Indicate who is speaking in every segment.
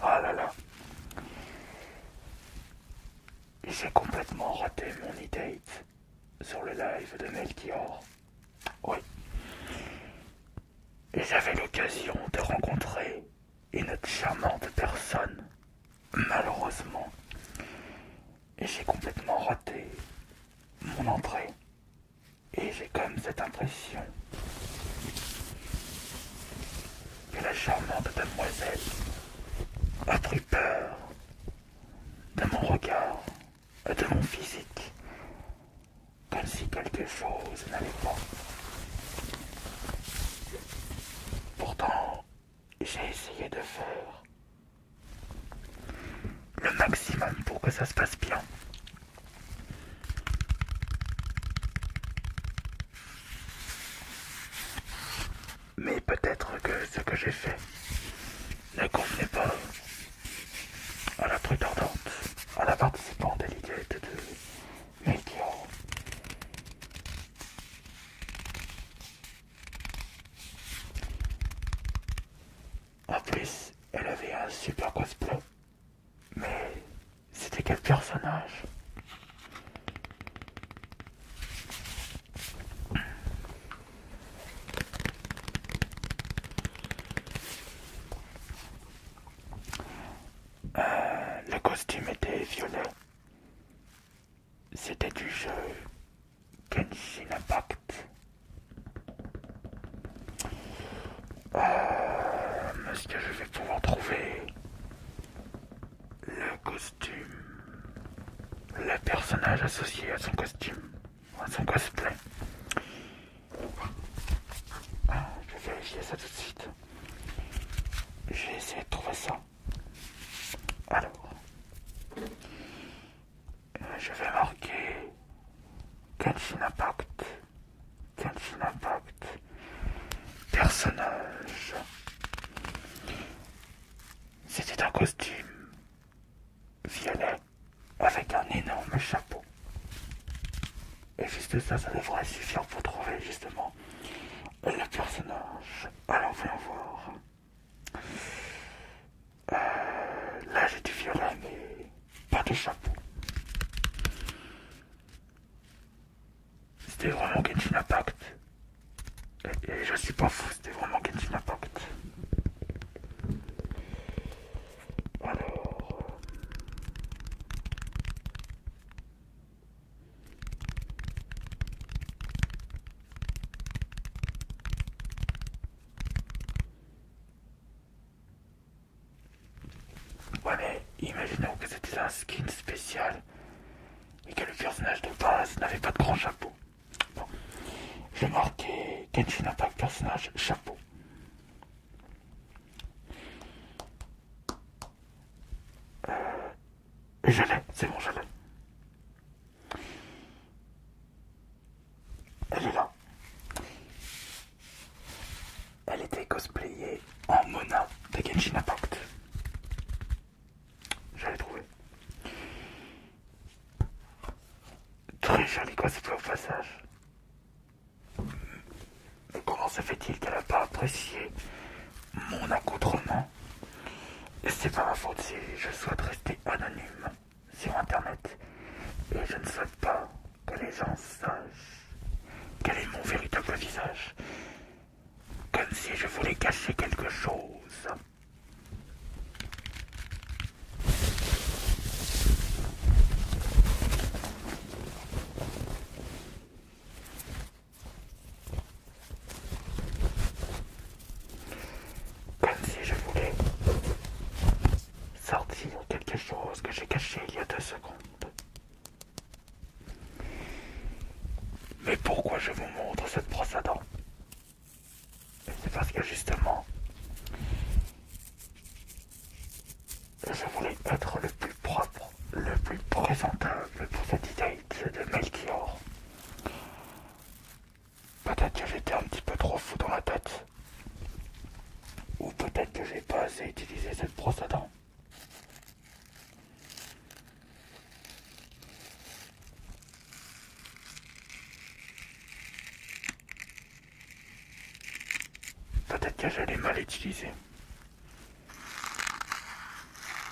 Speaker 1: Ah là là. J'ai complètement raté mon e-date sur le live de Melchior. Oui. Et j'avais l'occasion de rencontrer une charmante personne Malheureusement, j'ai complètement raté mon entrée. Et j'ai quand même cette impression que la charmante demoiselle a pris peur de mon regard, de mon physique, comme si quelque chose n'allait pas. Pourtant, j'ai essayé de faire le maximum pour que ça se passe bien. Mais peut-être que ce que j'ai fait ne convenait pas à la prétendante, à la participante l'idée de Melchior. En plus, elle avait un super cosplay. Mais c'était quel personnage euh, Le costume était violet. C'était du jeu Kenshin Impact. Euh, est-ce que je vais pouvoir trouver le costume, le personnage associé à son costume, à son cosplay ah, Je vais vérifier ça tout de suite. Je vais essayer de trouver ça. Alors, euh, je vais marquer Kenshin Impact. Kenshin Impact. Personnage. C'était un costume violet avec un énorme chapeau. Et juste ça, ça devrait suffire pour trouver justement le personnage. Alors, voyons voir. Euh, là, j'ai du violet, mais pas de chapeau. C'était vraiment Genshin Impact. Et, je suis pas fou, c'était vraiment Genshin Impact. Alors... Ouais mais imaginons que c'était un skin spécial et que le personnage de base n'avait pas de grand chapeau. Bon, je vais marquer pas de personnage chapeau. Euh, je l'ai, c'est bon, je l'ai. Elle est là. Elle était cosplayée en Mona de Genshin Impact. J'allais trouver. Très jolie quoi au passage. Mais comment se fait-il qu'elle n'a pas apprécié mon accoutrement Hein. c'est pas ma faute si je souhaite rester anonyme sur internet et je ne souhaite pas que les gens sachent quel est mon véritable visage. Comme si je voulais cacher quelque chose. Comme si je voulais sortir quelque chose que j'ai caché il y a deux secondes. Mais pourquoi je vous montre cette brosse à dents C'est parce que justement, je voulais être le plus propre, le plus présentable pour cette idée de Melchior. Peut-être que j'étais un petit peu trop fou dans la tête. Ou peut-être que j'ai pas assez utilisé cette brosse à dents. Peut-être que j'allais mal utiliser.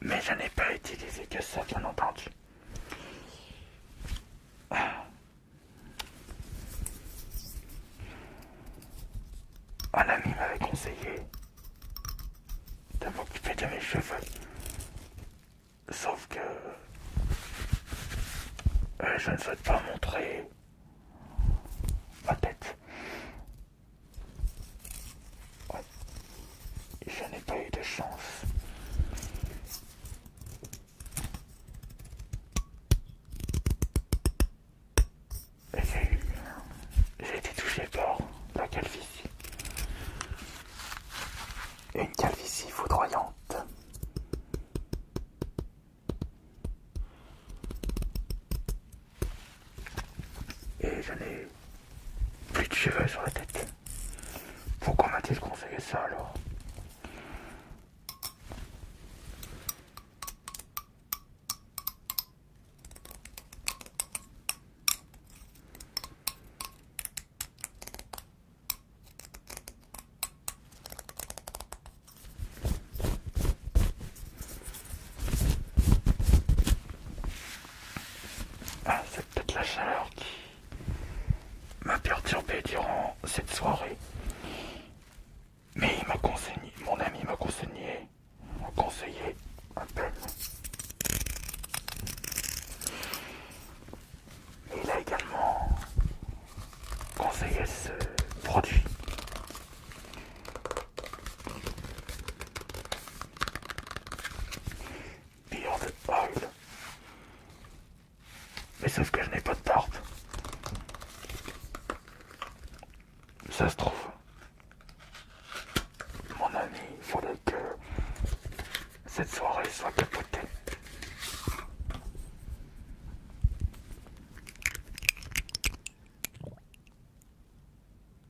Speaker 1: mais je n'ai pas utilisé que ça, bien entendu. Ah. Un ami m'avait conseillé de m'occuper de mes cheveux, sauf que euh, je ne souhaite pas montrer ma tête. Je n'ai pas eu de chance. J'ai J'ai été touché par la calvitie. Une calvitie foudroyante et j'en ai plus de cheveux sur la tête. Pourquoi m'a-t-il conseillé ça alors ah, peut-être la chaleur qui m'a perturbé durant cette soirée. Mais il m'a conseillé, mon ami m'a conseillé, conseillé un peine, Et il a également conseillé ce produit. Pire de Oil. Mais sauf que je n'ai pas de tarte. Ça se trouve, mon ami, il faudrait que cette soirée soit capotée.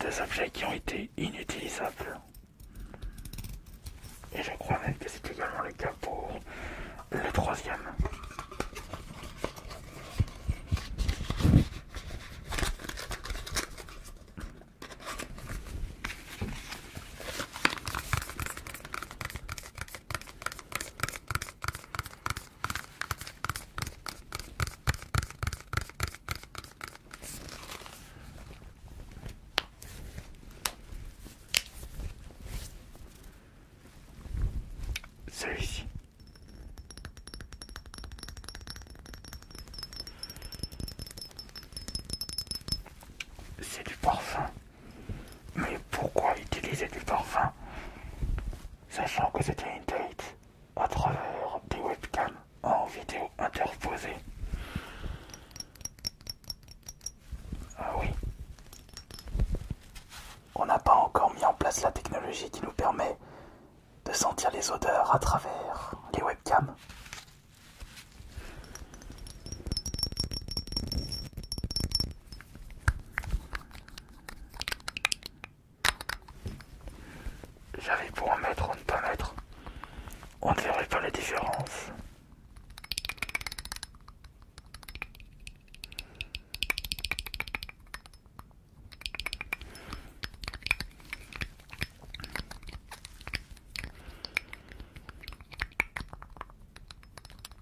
Speaker 1: Des objets qui ont été inutilisables. Et je crois même que c'est également le cas pour le troisième. Celui-ci. C'est du parfum. Mais pourquoi utiliser du parfum sachant que c'était une date à travers des webcams en vidéo interposée Ah oui. On n'a pas encore mis en place la technologie qui nous permet de sentir les odeurs à travers les webcams. J'avais pour en mettre ou ne pas mettre. On ne verrait pas la différence.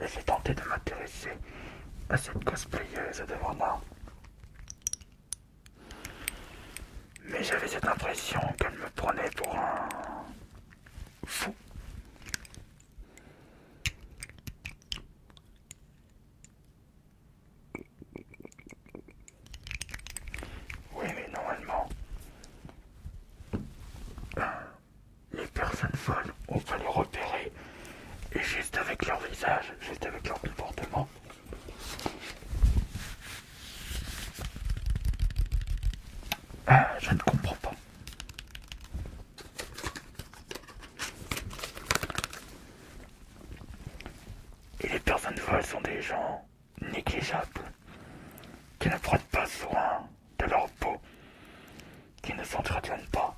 Speaker 1: Et j'ai tenté de m'intéresser à cette cosplayeuse devant moi, Mais j'avais cette impression qu'elle me prenait pour un fou. Oui, mais normalement, euh, les personnes folles, on peut les repérer et juste avec leur visage, juste avec leur comportement. Ah, je ne comprends pas. Et les personnes folles sont des gens négligeables, qui ne prennent pas soin de leur peau, qui ne s'entretiennent pas.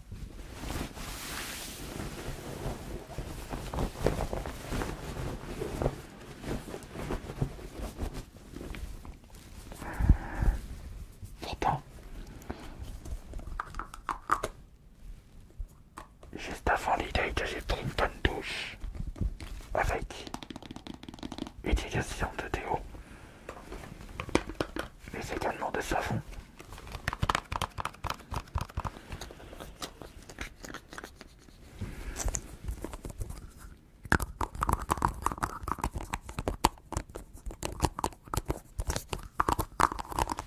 Speaker 1: Pourtant, Juste avant l'idée que j'ai pris une bonne douche avec éducation de déo, mais également de savon.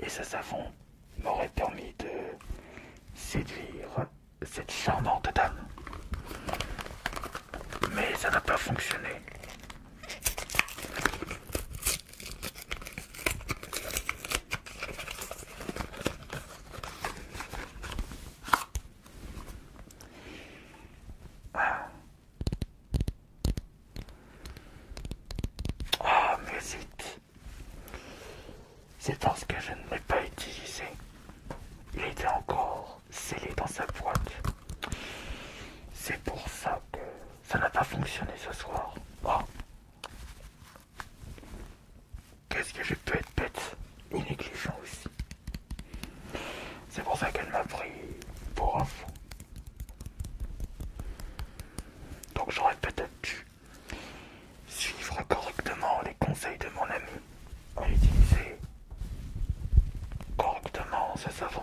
Speaker 1: Et ce savon m'aurait permis de séduire cette charmante dame. Mais ça n'a pas fonctionné. Ah. ah. mais musique. C'est parce que je ne l'ai pas utilisé. Il était encore scellé dans sa boîte. C'est pour ça que ça n'a pas fonctionné ce soir. Qu'est-ce que j'ai pu être bête et négligent aussi. C'est pour ça qu'elle m'a pris pour un fou. Donc j'aurais peut-être dû suivre correctement les conseils de mon ami utiliser correctement ce savon.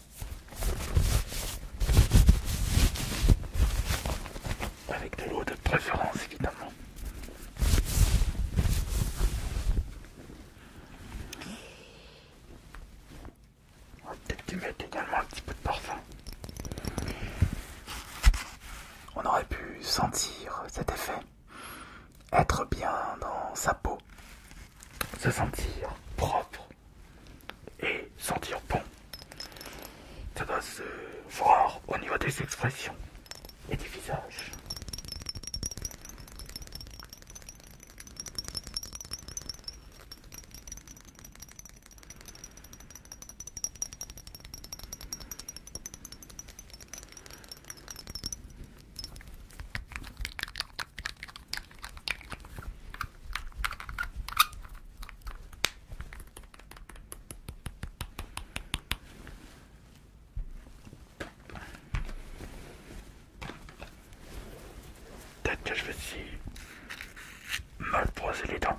Speaker 1: Avec de l'eau de préférence évidemment. On va peut-être y mettre également un petit peu de parfum. On aurait pu sentir cet effet, être bien dans sa peau, se sentir propre et sentir bon. Ça doit se voir au niveau des expressions et des visages. Peut-être que je vais si mal les dents.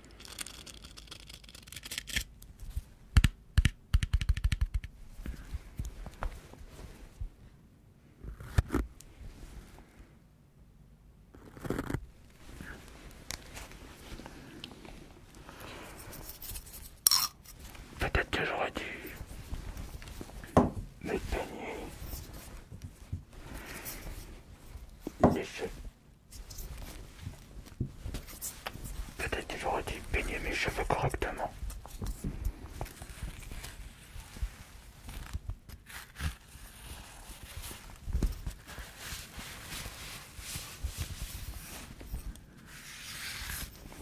Speaker 1: Peut-être que j'aurais dû me peigner les cheveux Peut-être que j'aurais dû peigner mes cheveux correctement.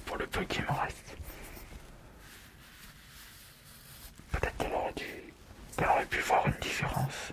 Speaker 1: Pour le peu qui me reste. Peut-être qu'elle aurait pu voir une différence.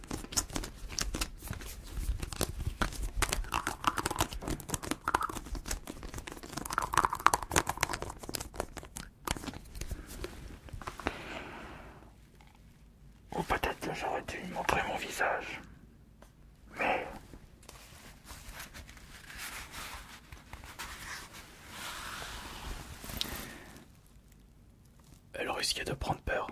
Speaker 1: Ou oh, peut-être que j'aurais dû montrer mon visage. Mais... Elle risquait de prendre peur.